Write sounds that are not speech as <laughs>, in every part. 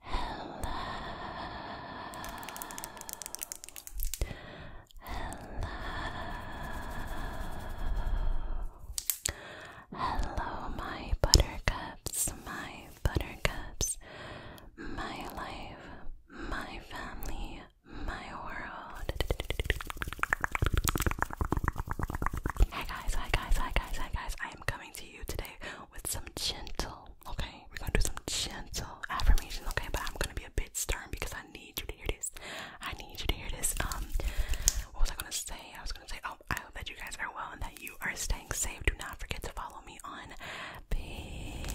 Hello. Hello. Hello, my buttercups, my buttercups, my life, my family, my world. Hi guys, hi guys, hi guys, hi guys. I am coming to you today with some gentle, okay? We're gonna do some gentle affirmations, okay? But I'm gonna be a bit stern because I need you to hear this. I need you to hear this. Um, what was I gonna say? I was gonna say, oh, I hope that you guys are well and that you are staying safe. Do not forget to follow me on Patreon.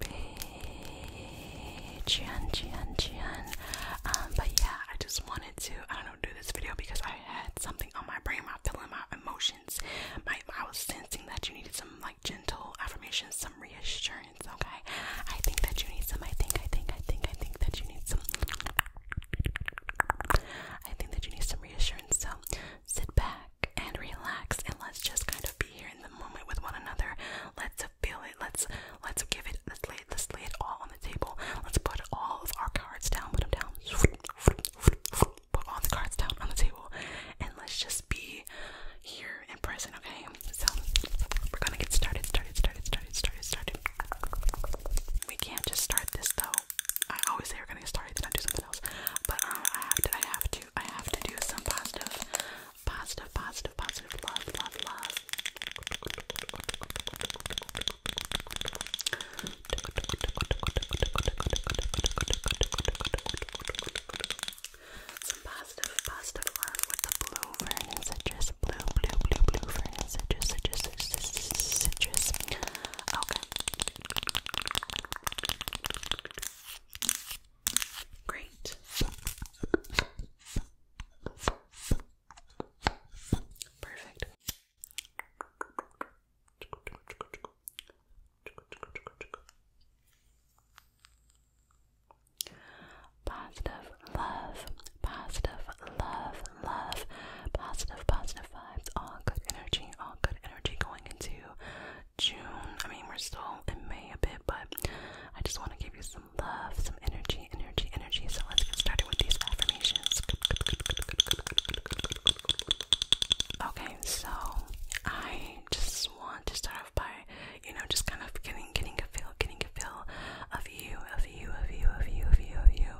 Patreon, Patreon, Patreon. Um, but yeah, I just want to, I don't do this video because I had something on my brain, my feeling, my emotions. My, I was sensing that you needed some like gentle affirmations, some reassurance, okay? I think that you need some, I think, I think, I think, I think that you need some. I think that you need some reassurance, so sit back and relax and let's just kind of be here in the moment with one another. Let's feel it. Let's let's give it. Let's let's lay it all on the table. Let's put all of our cards down, put them down, put all the cards down on the table, and let's just be here in present, okay? So we're gonna get started, started, started, started, started, started. We can't just start this though. I always say we're gonna get started, then I do something else. But um, I have to, I have to, I have to do some positive, positive, positive, positive love, love, love. Some positive, positive love with the blue fern citrus. Blue, blue, blue, blue fern citrus, citrus, citrus, citrus. Okay. Great. Perfect. Positive love, positive love, love, positive, positive vibes, all good energy, all good energy going into June. I mean, we're still in May a bit, but I just want to give you some love, some energy, energy, energy, So let's get started with these affirmations. Okay, so I just want to start off by, you know, just kind of getting getting a feel, getting a feel of you, of you, of you, of you, of you, of you.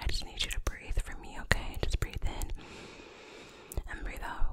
I just need you to breathe for me, okay? Just breathe in and breathe out.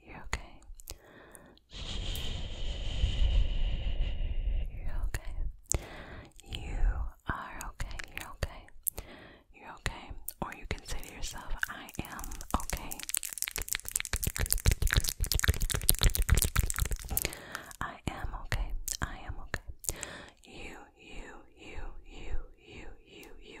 You're okay. You're okay. You are okay. You're okay. You're okay. Or you can say to yourself, I am okay. I am okay. I am okay. You, you, you, you, you, you, you.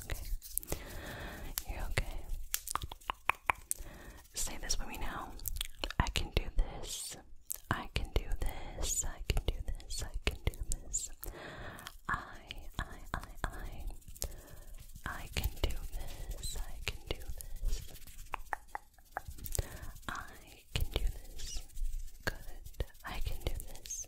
okay. You're okay. Say this with me now. I can do this. I can do this. I can do this. I can do this. I, I, I, I. I can do this. I can do this. I can do this. Good. I can do this.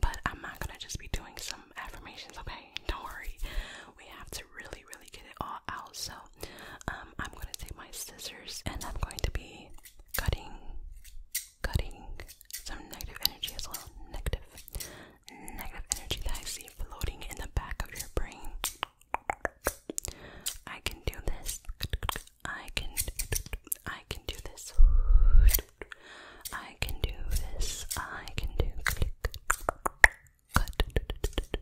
but I'm not gonna just be doing some affirmations, okay? Don't worry. We have to really, really get it all out. So, um, I'm gonna take my scissors and I'm going to be cutting, cutting some negative energy as well. Negative, negative energy that I see floating in the back of your brain. I can do this. I can, I can do this. I can do this. I can do click. Cut. Cut. I can do this.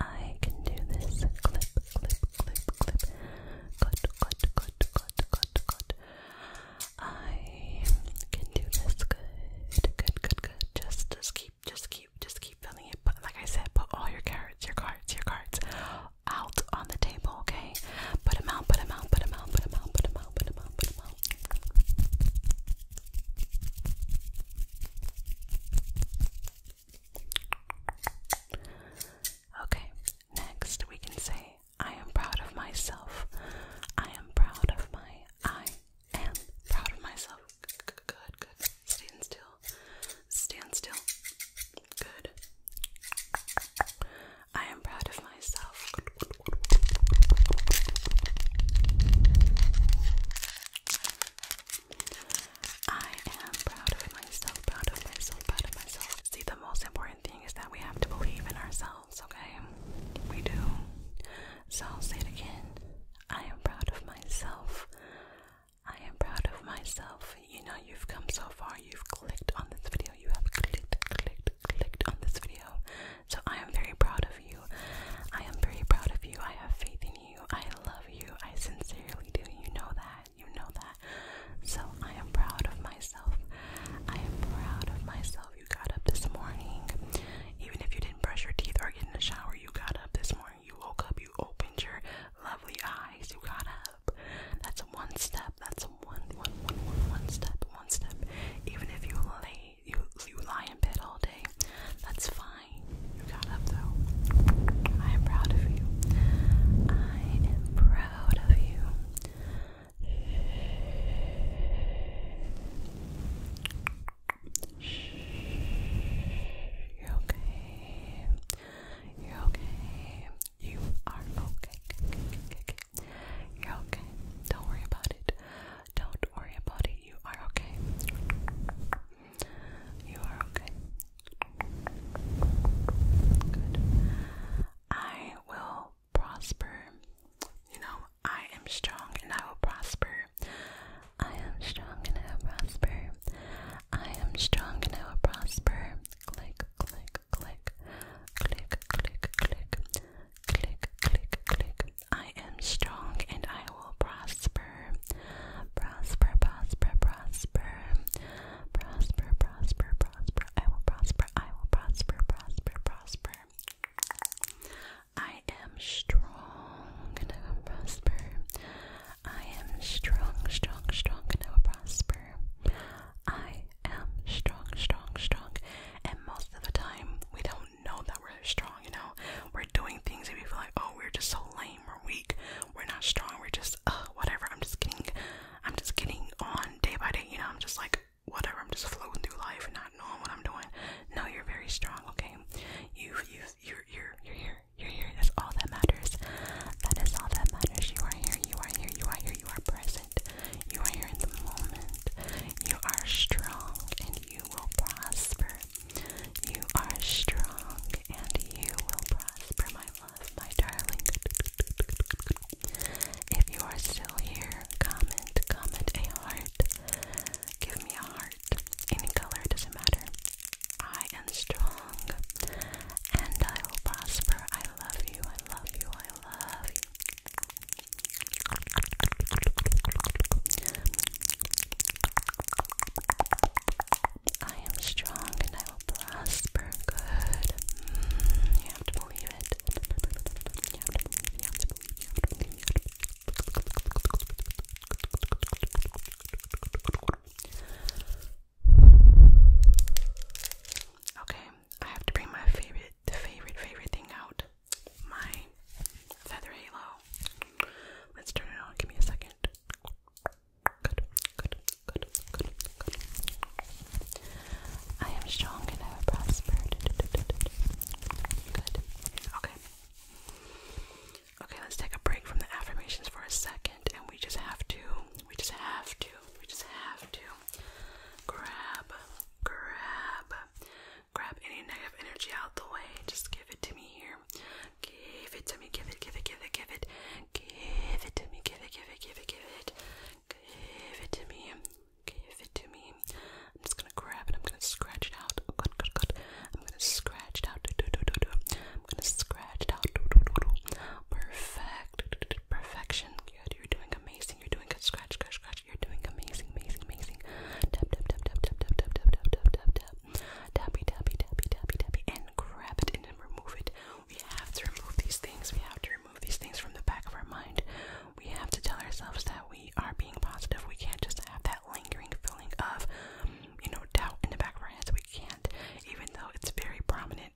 I can do this. Clip, clip, clip, clip. Cut, cut, cut, cut, cut, cut. I can do this. Good, good, good, good. Just, just keep, just keep, just keep filling it. But like I said, put all your carrots, your cards, your cards, out on the table, okay? Put them out, put them out, put them out, put them out, put them out, put them out, put them out. Okay, next we can say, I am proud of myself. I am proud of my. I am proud of myself. Good, good. Stand still. Stand still. Good. I am proud of myself. I am proud of myself, proud of myself, proud of myself. See, the most important thing is that we have to believe in ourselves, okay? We do. So I'll say it again. I am proud of myself. I am proud of myself you know you've come so far, you've clicked on this video, you have clicked, clicked, clicked on this video. So I am very proud of you. I am very proud of you. I have faith in you. I love you. I sincerely do. You know that. You know that. So I am proud of myself. I am proud of myself. You got up this morning. Even if you didn't brush your teeth or get in the shower, you got up this morning. You woke up, you opened your lovely eyes, you got up. That's one step. That's one, one, one, one, one step, one step. Even if you lay, you you lie in bed all day, that's fine. You got up though. I am proud of you. I am proud of you. you okay. you okay. You are okay. You're okay. Don't worry about it. Don't worry about it. You are okay. You are okay. Good. I will prosper. You know, I am strong and I will prosper. I am strong and I will prosper. I am strong and I will prosper click, click, click, click, click, click, click, click, click. I am strong and I will prosper. Prosper, prosper, prosper. Prosper, prosper, prosper. I will prosper. I will prosper, prosper, prosper. I am strong and I will prosper. I am strong, strong, strong and I will prosper. I am strong, strong, strong. And most of the time, we don't know that we're strong, you know? We're doing things and we feel like, oh, we're just so lame we're weak. We're not strong. We're just, whatever. I'm just getting, I'm just getting on day by day, you know? I'm just like, whatever. I'm just floating through life and not knowing what I'm doing. No, you're very strong, okay? You, you, you're, you're, you're here. You're here. That's all that matters. That is all that matters. You are here, you are here, you are here, you are present. You are here in the moment. You are strong and you will prosper. You are strong and you will prosper, my love, my darling. If you are still here, comment, comment a heart. Give me a heart. Any color doesn't matter. I am strong and I will prosper. I love you, I love you, I love you. I am strong and I will prosper. Good. Mm, you have to believe it. You have to believe, you have to believe, you have to believe, you have to believe. Okay, I have to bring my favorite, the favorite, favorite thing out. My feather halo. Let's turn it on. Give me a second. Good, good, good, good, good. I am strong and I have prospered. Good. Okay. Okay, let's take a break from the affirmations for a second, and we just have to, we just have to we just have to grab, grab, grab any negative energy out the way. Just give it to me here. Give it to me, give it, give it, give it, give it. Give it to me, give it, give it, give it, give it. Give it to me. Give it to me. I'm just gonna grab it. I'm gonna scratch it out. I'm gonna scratch it out. I'm gonna scratch it out. Perfect. Perfection. Good. You're doing amazing. You're doing good. Scratch, scratch, scratch. You're doing amazing, amazing, amazing. Tap, tap, tap, tap, tap, tap, tap, tap, tap, tap, tap, tap. Tappy, tappy, tappy, tappy, and grab it and remove it. We have to remove these things. We have to remove these things from the back of our mind. We have to tell ourselves that we are being positive. We can't just have that lingering feeling of, you know, doubt in the back of our heads. We can't, even though it's very prominent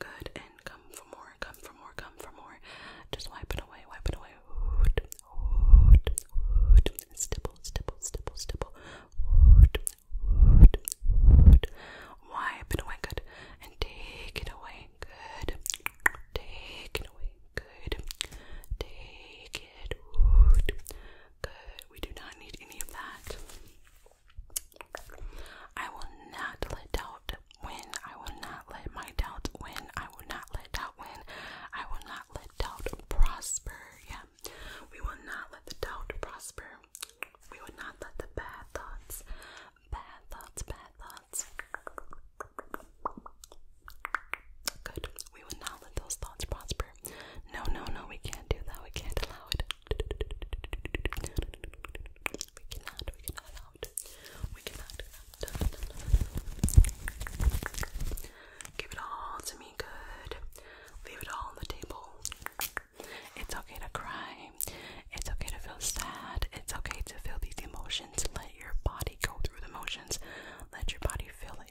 Good, and come for more, come for more, come for more. Just wipe it away, wipe it away. Woot, woot, woot. Stipple, stipple, stipple, stipple. Woot, woot, woot. Wipe it away, good. And take it away, good. Take it away, good. Take it, Good. We do not need any of that. I will not let doubt win. I will not let my doubt win. I will not let doubt win. I will not let doubt prosper. Yeah. We will not let the doubt prosper. We will not let the bad thoughts, bad thoughts, bad thoughts. Good. We will not let those thoughts prosper. No, no, no, we can't do that. We can't allow it. We cannot, we cannot out. We cannot out. Give it all to me good. Leave it all on the table. It's okay to cry. It's okay to feel sad. It's okay to feel these emotions. Let your body go through the motions. Let your body feel it.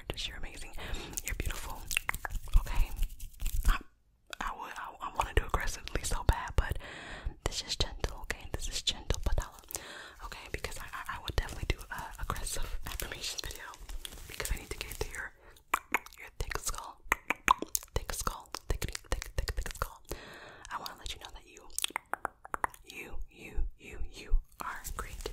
gorgeous. You're amazing. You're beautiful. Okay. I I would I, I want to do aggressively so bad, but this is gentle. Okay, this is gentle patella. Okay, because I I, would definitely do a aggressive affirmation video because I need to get to your your thick skull, thick skull, thick thick thick, thick skull. I want to let you know that you you you you you are great.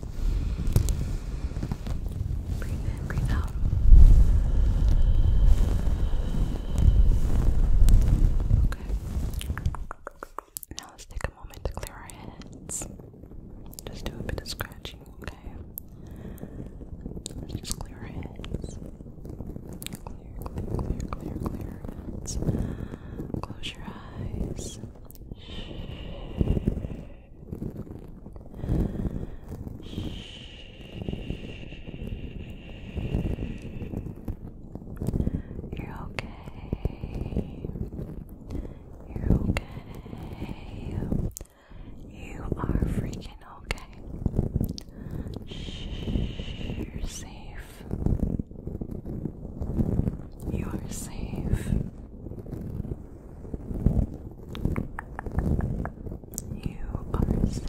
Breathe in, breathe out. Okay. Now let's take a moment to clear our heads. Just do a bit of scratching, okay? just clear our heads. Clear, clear, clear, clear, clear. Heads. Close your eyes. You're okay. You're okay. You are freaking okay. Shh, you're safe. You are safe. You are safe.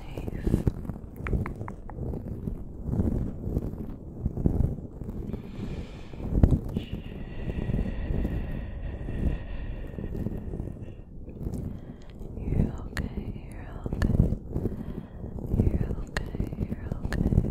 You're okay, you're okay. You're okay, you're okay.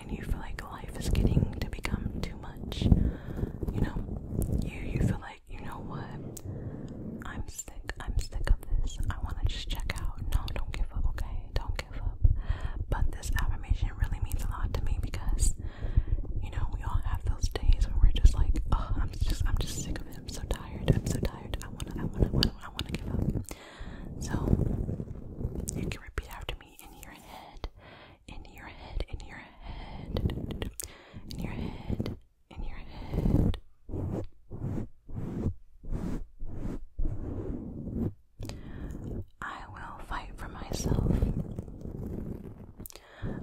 you feel like life is getting to become too much. You know, you you feel like you know what? I'm sick. I'm sick of this. I want to just check out. No, don't give up. Okay, don't give up. But this affirmation really means a lot to me because you know we all have those days when we're just like, oh, I'm just I'm just sick of it. I'm so tired. I'm so tired. I wanna I wanna I wanna, I wanna give up. So you can repeat after me in your head in your head, in your head, in your head, in your head. I will fight for myself.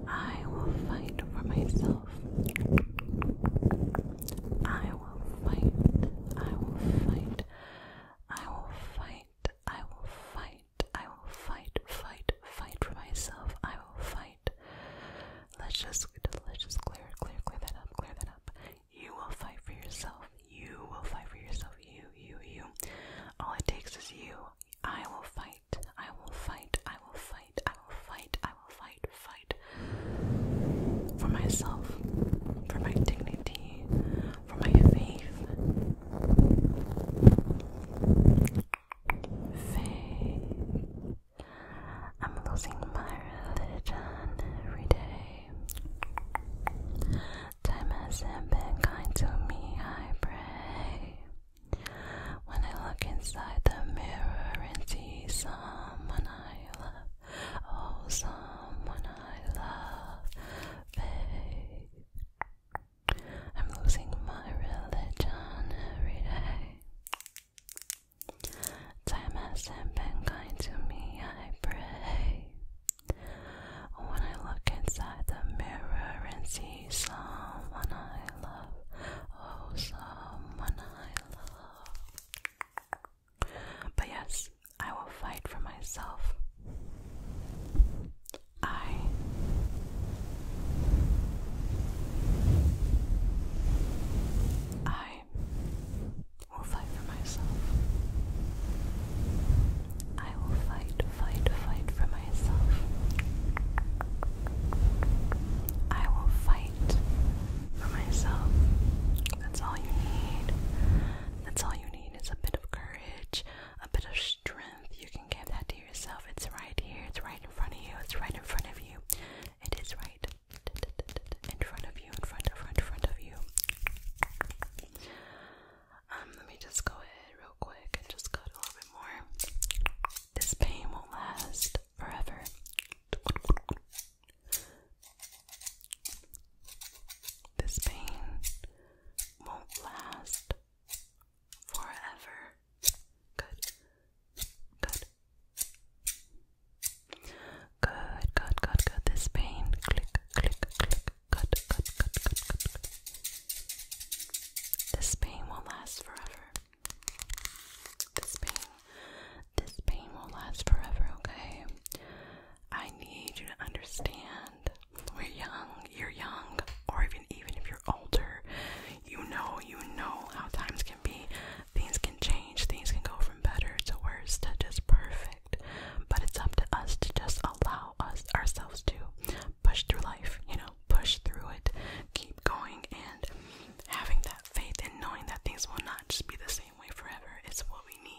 I will fight for myself. I will fight. I will fight. I will fight. I will fight fight. I will fight, fight, fight for myself. I will fight. Let's just let's just clear, clear, clear that up, clear that up. You will fight for yourself. You will fight for yourself. You, you, you. All it takes is you. I will fight. I will fight. I will fight. I will fight. I will fight. Fight for myself, for my dignity, for my faith. Faith. I'm losing my religion every day. Time hasn't been kind to me, I pray. When I look inside the mirror and see someone I love, oh, someone I love, faith. I'm losing my religion every day. Time has been kind to me, I pray. When I look inside the mirror and see someone I love, oh, someone I love. But yes, I will fight for myself. I I will fight for myself. I will fight, fight, fight for myself. I will fight for myself. That's all you need. That's all you need is a bit of courage, a bit of strength you can give that to yourself. It's right here, it's right in front of you, it's right in front of you. It is right in front of you, in front of front front of you. Um, let me just go ahead real quick and just cut a little bit more. This pain will last forever. This pain won't last forever. Good. Good. Good, good, good, good. This pain. Click, click, click. Good, good, good, good, good, good. This pain will last forever. This pain. This pain will last forever, okay? I need you to understand we're young, you're young, or even even if you're older, you know, you know how times can be. Things can change, things can go from better to worse to just perfect. But it's up to us to just allow us ourselves to push through life, you know, push through it, keep going and having that faith and knowing that things will not just be the same way forever. It's what we need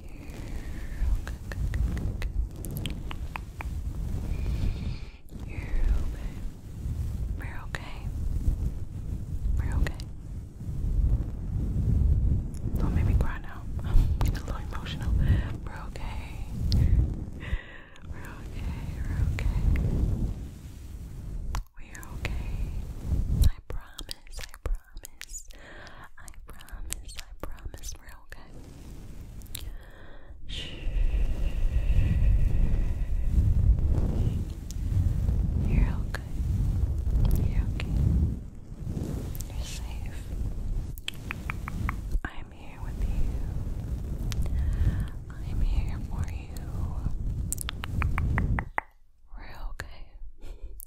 You're okay. We're okay. We're okay. Don't make me cry now. I'm getting a little emotional. We're okay. We're okay. We're okay. We're okay. I promise. I promise promise. I promise. I promise we're okay. Shh. You're okay. You're okay. You're safe. I'm here with you. I'm here for you. We're okay. <laughs>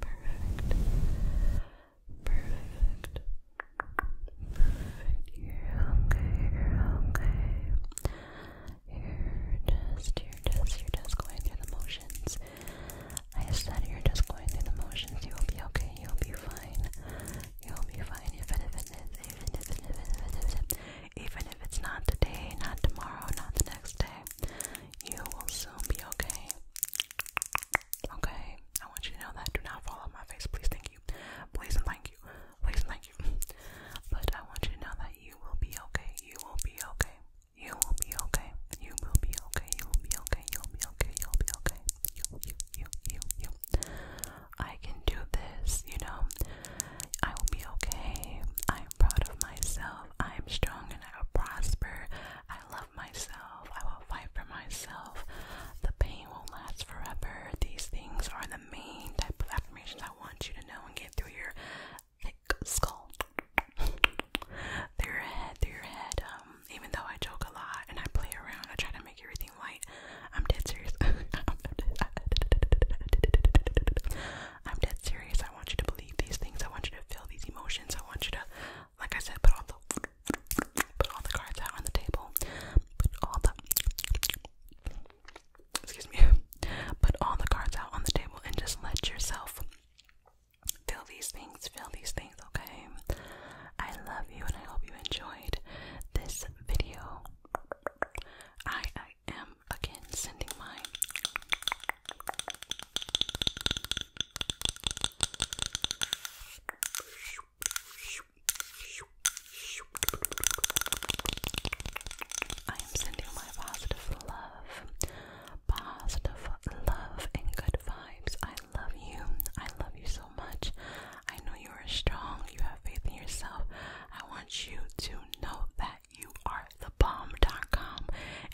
perfect, perfect, You're okay, you're okay. You're just, you're just, you're just going through the motions. I said you're just going through the motions. You'll be okay. You'll be fine. You'll be fine. If if it is, even if it, even if it, even if it, even if it's not today, not tomorrow, not the next day, you will soon be okay. Okay, I want you to know that. Do not fall on my face, please. Thank you. Please and thank you. Please and thank you. <laughs> But I want you to know that you will be okay. You will be okay. You will be okay. You will be okay. You will be okay. You will be okay. You'll be okay. You, you, you, you, you. I can do this. You know, I will be okay. I am proud of myself. I am strong and I will prosper. I I love myself, I will fight for myself, the pain will last forever. These things are the main type of affirmations I want you to know and get through your thick skull. through your head, through your head. Um, even though I joke a lot and I play around, I try to make everything light. I'm dead serious. <laughs> <laughs> I'm dead serious. I want you to believe these things. I want you to feel these emotions. I want you to like I said, put all the put all the cards out on the table. Put all the excuse me. Put all the cards out on the table and just let yourself feel these things. Feel these things, okay? I love you and I hope you enjoyed this video. I am again sending my I am sending my positive love, positive love and good vibes. I love you. I love you so much. I know you are strong. You have faith in yourself. I want you to know that you are the bomb.com.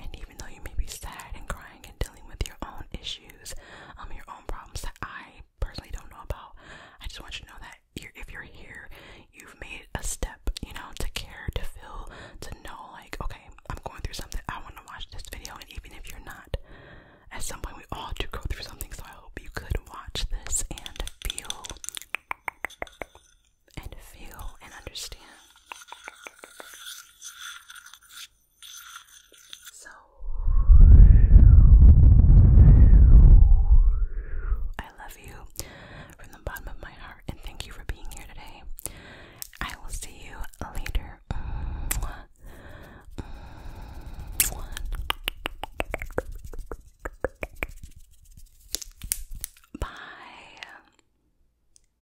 And even though you may be sad and crying and dealing with your own issues, um, your own problems that I personally don't know about. I just want you to know that if you're here, you've made a step, you know, to care, to feel, to know, like, okay, I'm going through something. I want to watch this video, and even if you're not, at some point we all do go through something. So I hope you could watch this and feel, and feel, and understand. So I love you from the bottom of my heart and thank you for being here today. I will see you later. Bye.